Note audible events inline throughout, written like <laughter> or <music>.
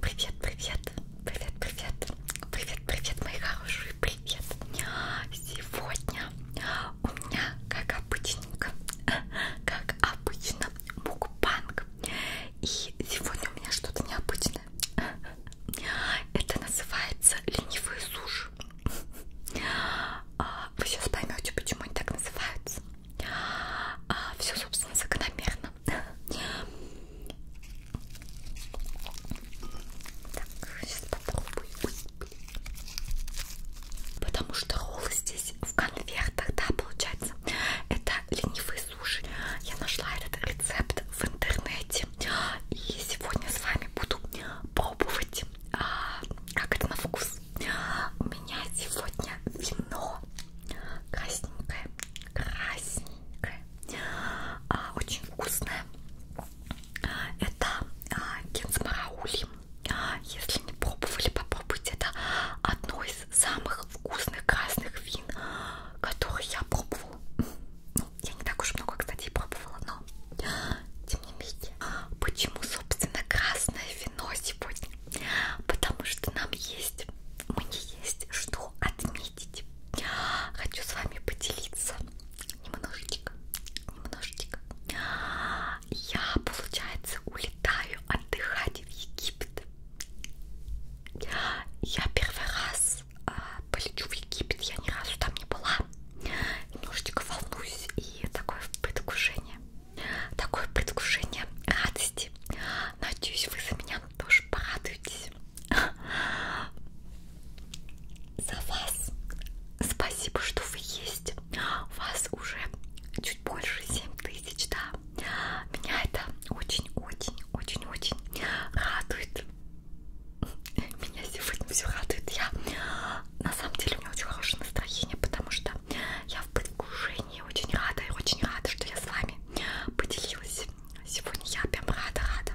Привет, привет, привет, привет, привет, привет, мои хорошие, привет. Сегодня у меня, как обычненько, <laughs> как обычно, мукбанг. И сегодня у меня что-то необычное. <laughs> Это называется ленивые суши. <laughs> А, вы сейчас поймете, почему они так называются. А, Все, собственно, закономерно. Так, сейчас попробую. Потому что роллы здесь в конвертах, да, получается. Это ленивые суши. Я нашла этот рецепт в интернете. И сегодня с вами буду пробовать, а, как это на вкус. У меня сегодня вино красненькое красненькая, а, очень вкусная. А, это а, кинзмараули. А, если не пробовали, попробуйте. Это одно из самых вкусных красных вин, которые я пробовала. Ну, я не так уж много, кстати, пробовала, но тем не менее. Почему, собственно, красное вино? кино сегодня, потому что нам есть, мне есть что отметить. Хочу с вами поделиться немножечко, немножечко. Я, получается, улетаю отдыхать в Египет. Я первый раз э, полечу в Египет, я ни разу там не была. Немножечко волнуюсь и такое предвкушение такое предвкушение радости. Надеюсь, вы за меня тоже порадуетесь. За вас. Спасибо, что вы есть. У вас уже чуть больше 7 тысяч, да. Меня это очень-очень-очень-очень радует. Меня сегодня все радует. Я на самом деле у меня очень хорошее настроение, потому что я в предвкушении искренне очень рада и очень рада, что я с вами поделилась. Сегодня я прям рада-рада.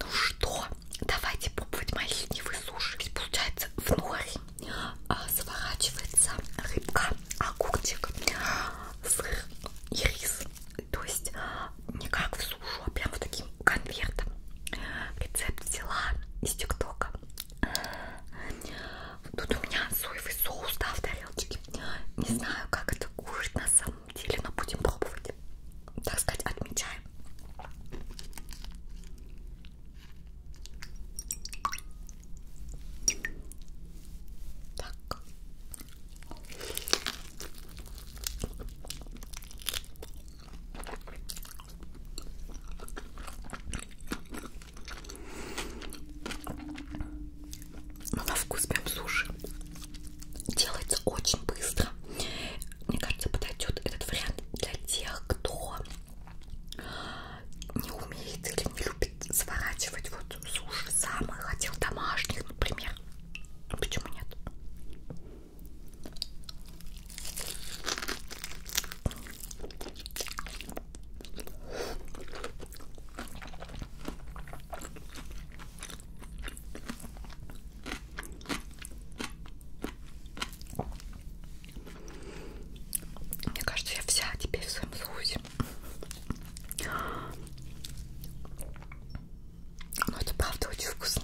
Ну что, давайте пробовать мои ленивые суши. Ведь получается в норе а, заворачивается рыбка, огурчик, сыр и рис то есть не как в сушу, а прям вот таким конвертом. Рецепт взяла из ТикТока. Тут у меня соевый соус, да, в тарелочке. Не знаю, как это кушать на самом деле, но будем пробовать. Так сказать, отмечаем. Так. Но на вкус прям суши делается очень быстро. Мне кажется, подойдет этот вариант для тех, кто не умеет или не любит сворачивать вот суши сам и хотел домашних, например. А почему нет? Мне кажется, я вся теперь в своем соусе боюсь. Но ну, это правда очень вкусно.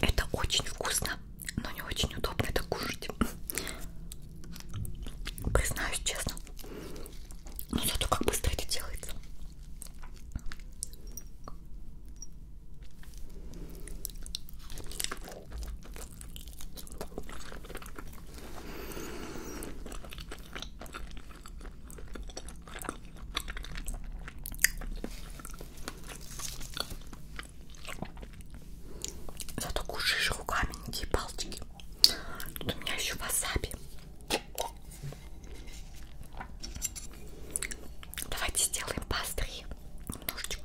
Это очень вкусно но не очень удобно это кушать. Признаюсь честно. Но зато как быстро это делается. Зато кушаешь руками, никакие палочки. Тут у меня еще васаби. Давайте сделаем быстрее немножечко.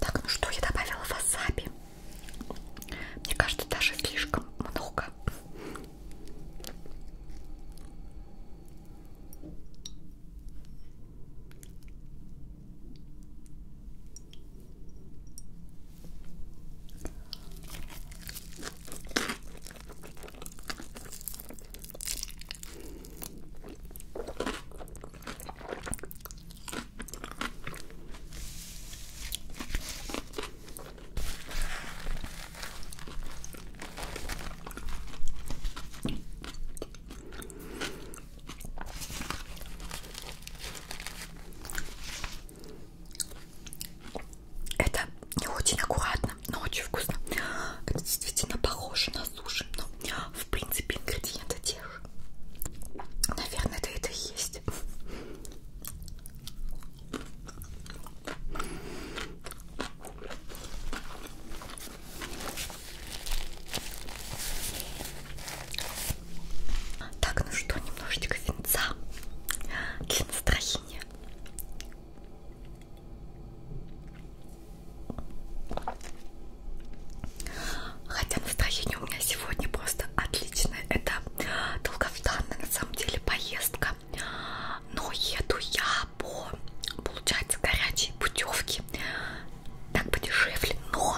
Так, ну что, я добавила васаби. Мне кажется, даже слишком много. Это не очень аккуратно, но очень вкусно. Это действительно похоже на засушим, но ну, в принципе ингредиенты те же. Наверное, это это и есть. Так, ну что, немножечко винца для настроения. Хотя настроение у меня сегодня просто отличное. Это долгожданная на самом деле поездка. Но еду я по, получается, горячей путевке. Так подешевле, но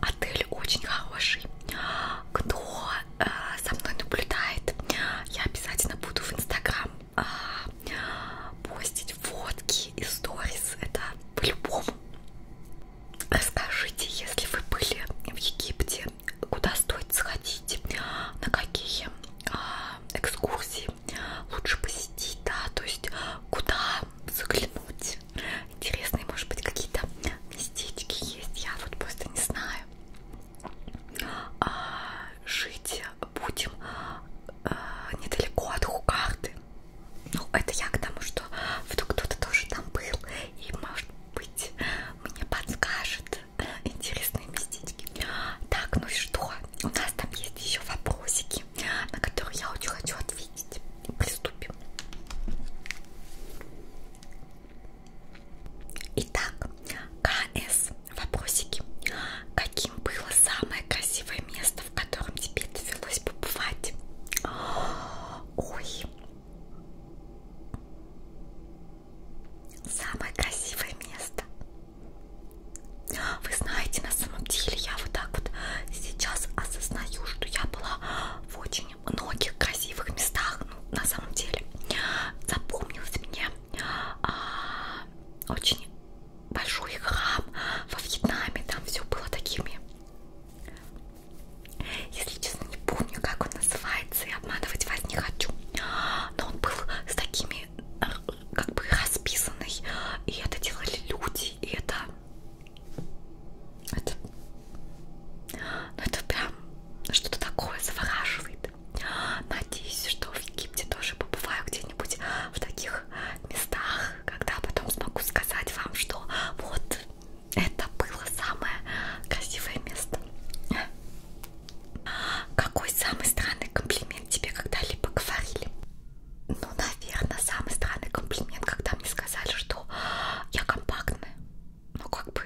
отель очень хороший. Кто э, со мной наблюдает, я обязательно буду в Инстаграм а, постить фотки и сторис, это по-любому. Расскажите, если вы были в Египте, куда стоит сходить, на какие а, экскурсии лучше посетить, да, то есть куда заглянуть. Интересные, может быть, какие-то местечки есть, я вот просто не знаю. А, жить будем э, недалеко от Хукарты. Ну, это я к тому, что вдруг кто-то тоже там был, и, может быть, мне подскажет э, интересные местечки. Так, ну и что? У нас там есть еще вопросики, на которые я очень хочу ответить. Приступим. Итак, КС Вопросики. Каким было самое красивое место, в котором тебе довелось побывать? Ой. Самое красивое место. Вы знаете, на самом деле я вот так вот сейчас осознаю, что я была в очень многих красивых местах. Ну, на самом деле запомнилось мне а, очень большой храм во Вьетнаме, там все было такими. Если честно, не помню, как он называется, и обманывать вас не хочу. Но он был с такими, как бы, расписанный, и это делали люди, и это... Это... Ну, это прям что-то такое завораживает. Египет. Надеюсь, что в Египте тоже побываю где-нибудь в таких местах, когда потом смогу сказать вам, что вот это было самое красивое место. Какой самый странный комплимент тебе когда-либо говорили? Ну, наверное, самый странный комплимент, когда мне сказали, что я компактная. Ну, как бы,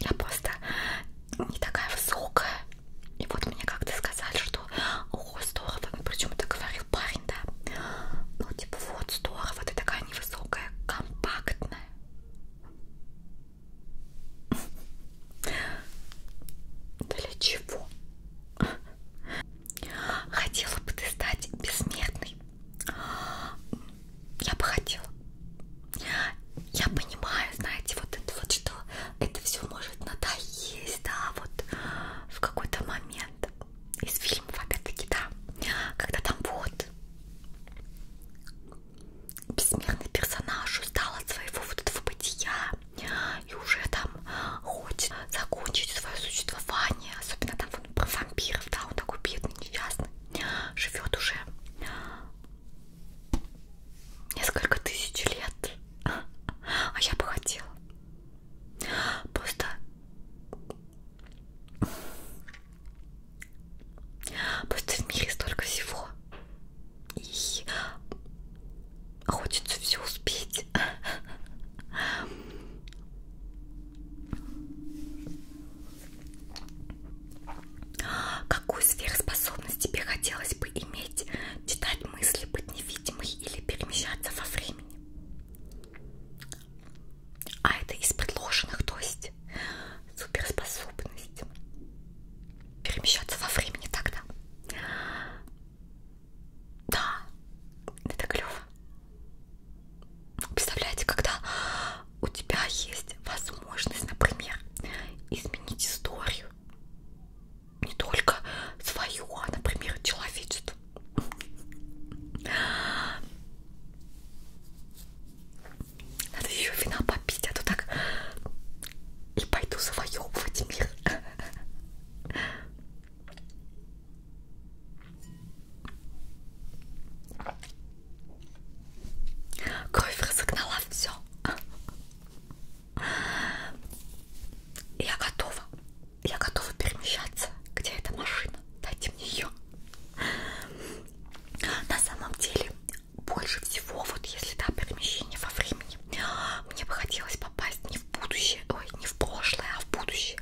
я просто не такая высокая. И вот мне как-то сказали, что о, здорово, причем это говорил парень, да. Ну, типа, вот, здорово, ты такая невысокая, компактная. Для чего? Хотела бы ты стать бессмертной. Я бы хотела. Я понимаю, знаете, вот это вот, что это все может надоесть, да, вот в какой-то момент из фильмов, опять-таки, да, когда там вот бессмертный персонаж устал от своего вот этого бытия и уже там хочет закончить свое существование, особенно там вот про вампиров, да, он такой бедный, несчастный, живет уже несколько тысяч лет. А я бы хотела. Просто Просто в мире столько всего. И хочется все успеть. Какую сверхспособность тебе хотелось бы иметь? Читать мысли, быть невидимой или перемещаться во времени? А это из предложенных, то есть суперспособность. Перемещаться во времени тогда. Да, это клево. Представляете, когда у тебя есть возможность, например, изменить историю не только свою, а, например, человечество. Надо еще вина попить, а то так и пойду завоевывать мир. Кровь разогнала все. Я готова. Я готова перемещаться. Где эта машина? Дайте мне ее. На самом деле, больше всего, вот если да, перемещение во времени, мне бы хотелось попасть не в будущее, ой, не в прошлое, а в будущее.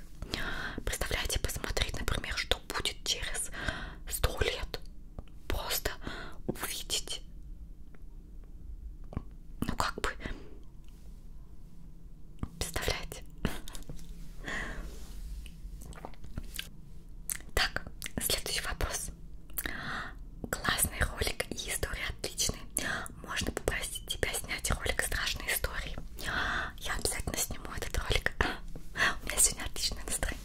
Представляете, посмотреть, например, что будет через сто лет, просто увидеть. Ну как бы представляете? Так, следующий вопрос. Классный ролик и история отличные. Можно попросить тебя снять ролик страшной истории. Я обязательно сниму этот ролик. У меня сегодня отличное настроение.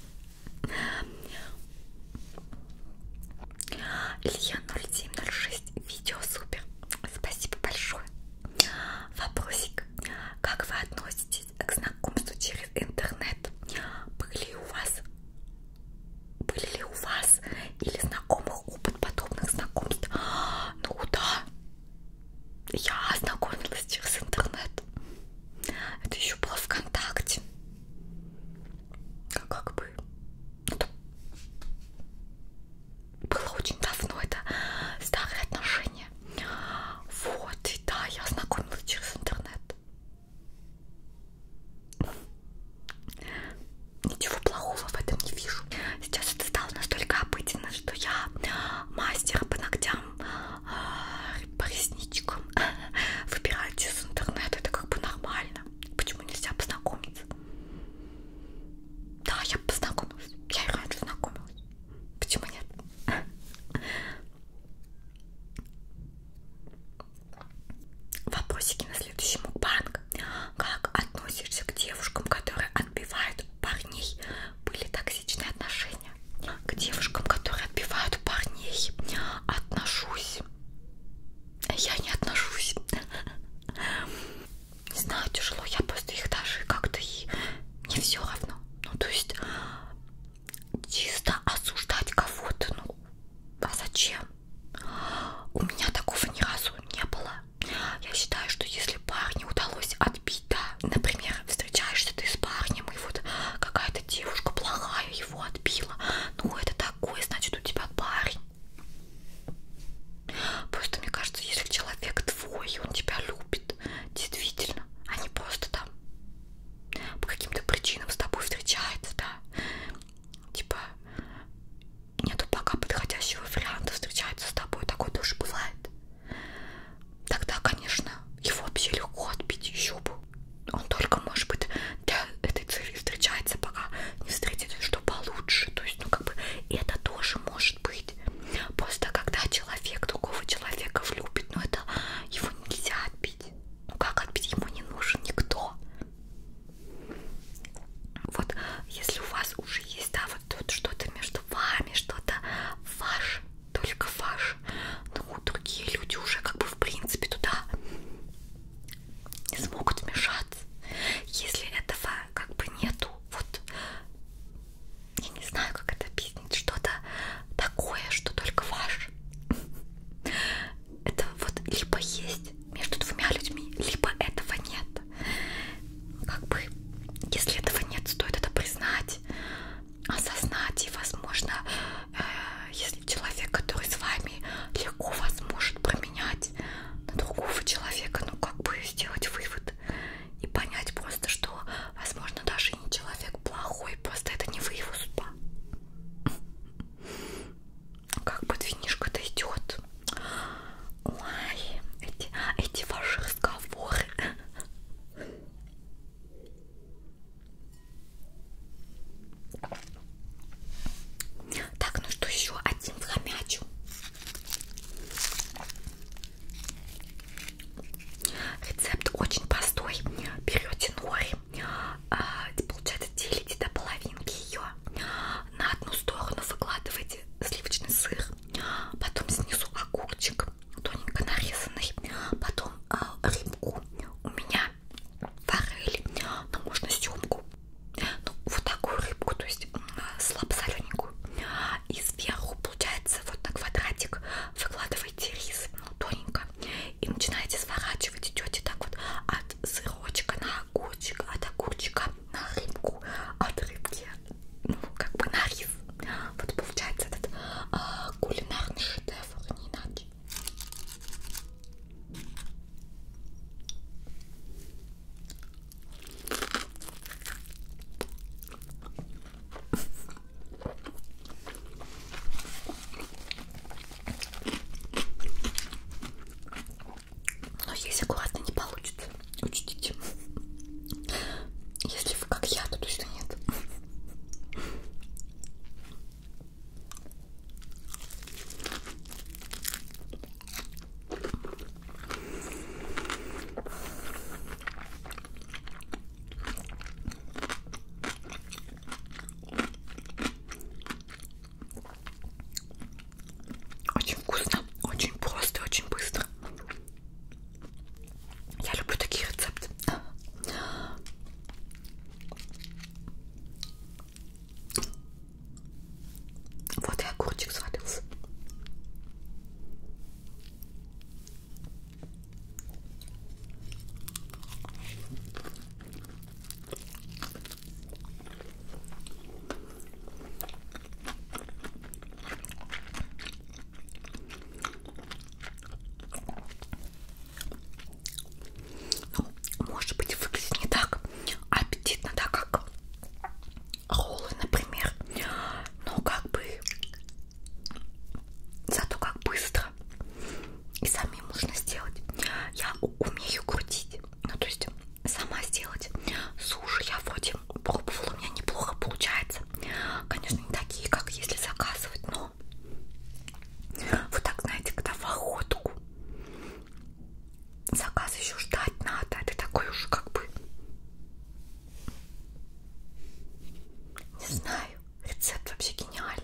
Илья 0706. Видео супер. Спасибо большое. Вопросик. Как вы относитесь к знакомству через интернет? Были ли у вас были ли у вас или знакомых опыт подобных знакомств? Ну да. Я ознакомилась через интернет. Это еще было ВКонтакте как бы это было очень давно, это старые отношения. Вот, и да, я ознакомилась через интернет. Ничего плохого в этом не вижу. Сейчас это стало настолько обыденно, что я мастер по ногтям прям а, по ресничкам <laughs> выбирать из интернета, это как бы нормально. Почему нельзя познакомиться? Да, я познакомилась, я и раньше знакомилась. Почему нет? <laughs> Вопросики на следующий мукбанг. Как относишься к девушкам, которые отбивают парней? Были токсичные отношения? парня. К девушкам, которые отбивают парней, отношусь. Я не отношусь. Не знаю, тяжело. Я просто их даже как-то и не все равно. Ну, то есть чисто осуждать кого-то. Ну, а зачем? У меня такого ни разу не было. Я считаю, что если парню удалось отбить, да, например, встречаешься ты с парнем, и вот какая-то девушка плохая его отбила. Ну, это такое, значит, у тебя парень. Просто мне кажется, если человек твой, и он тебя любит, действительно, а не просто там по каким-то причинам с тобой встречается, да. Типа нету пока подходящего варианта встречается с тобой, такое тоже бывает тогда, конечно, его вообще легко отбить еще бы. Он только, может быть, для этой цели встречается, пока не встретит что получше. То есть, ну, как бы, это тоже может быть. Просто когда человек другого человека влюбит, ну, это его нельзя отбить. Ну, как отбить? Ему не нужен никто. Вот, если у вас уже есть, да, вот, вот что-то между вами, что-то ваш только ваш. Ну, другие люди уже как бы в принципе туда не смогут вмешаться. Если этого как бы нету, вот я не знаю, как это объяснить, что-то такое, что только ваш. Это вот либо есть между двумя людьми, либо этого нет. Как бы, если этого нет, стоит это признать, осознать и, возможно, э, если человек, который с вами легко вас может променять на другого человека, ну как бы сделать вывод и понять просто, что, возможно, даже не человек плохой, просто это не вы его судьба. Как бы финишка-то идет. Ой, эти, эти ваши разговоры. Так, ну что еще? Один хомячу. Рецепт очень простой. Берете нори, а, получается, делите до половинки ее. На одну сторону выкладываете сливочный сыр, потом снизу огурчик, лук тоненько нарезанный, потом э, рыбку, у меня форель, но ну, можно семку, ну вот такую рыбку, то есть э, слабосолененькую, и сверху получается вот на квадратик выкладываете рис, ну тоненько, и начинаете сворачивать, идете так вот от сырочка на огурчик, от огурчика на рыбку, от рыбки, ну как бы на рис, вот получается этот а, кулинарный шедевр, а не иначе. Но если аккуратно не получится, учтите. Если вы как я, то точно нет. Очень вкусно, очень просто, очень быстро. Я люблю такие рецепты. Вот и огурчик свалился. Ну, может быть, выглядит не так аппетитно, так как роллы, например. Но как бы зато как быстро. И сами можно сделать. Я умею крутить. Ну, то есть сама сделать суши я вроде и пробовала, у меня неплохо получается. Конечно, не такие, как если заказывать, но вот так, знаете, когда в охотку заказ еще ждать надо, это такой уж как бы не знаю, рецепт вообще гениальный.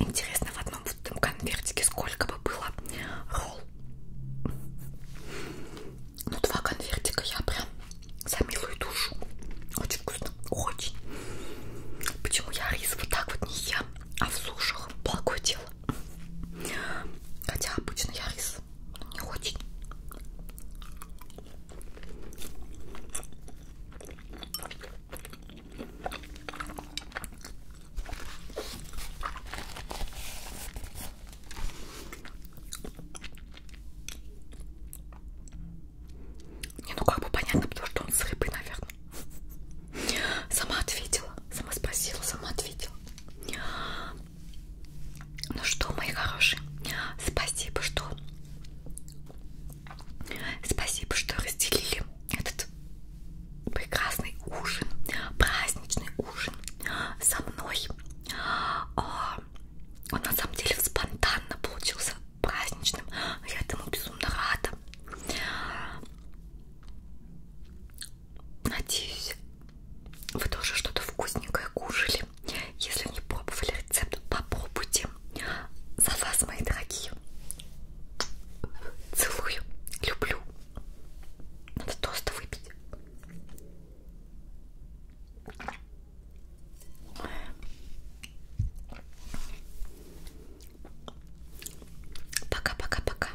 Интересно, в одном в этом конвертике сколько бы было ролл? Ну, два конвертика я прям за милую душу. Очень вкусно, очень. Почему я рис вот так вот не ем, а в сушах? Благое дело. Хотя обычно я рис вкус, но не очень. Не, ну как бы понятно, потому что он с рыбой, наверное. Сама ответила, сама спросила, сама ответила. Ну что, мои хорошие, спасибо, что спасибо, что разделили этот прекрасный ужин, праздничный ужин со мной. А, он на самом деле спонтанно получился праздничным. Я этому безумно рада. Надеюсь, вы тоже что-то вкусненькое кушали. Если не пробовали рецепт, попробуйте. За вас, мои дорогие. Целую. Люблю. Надо тост выпить. Пока-пока-пока.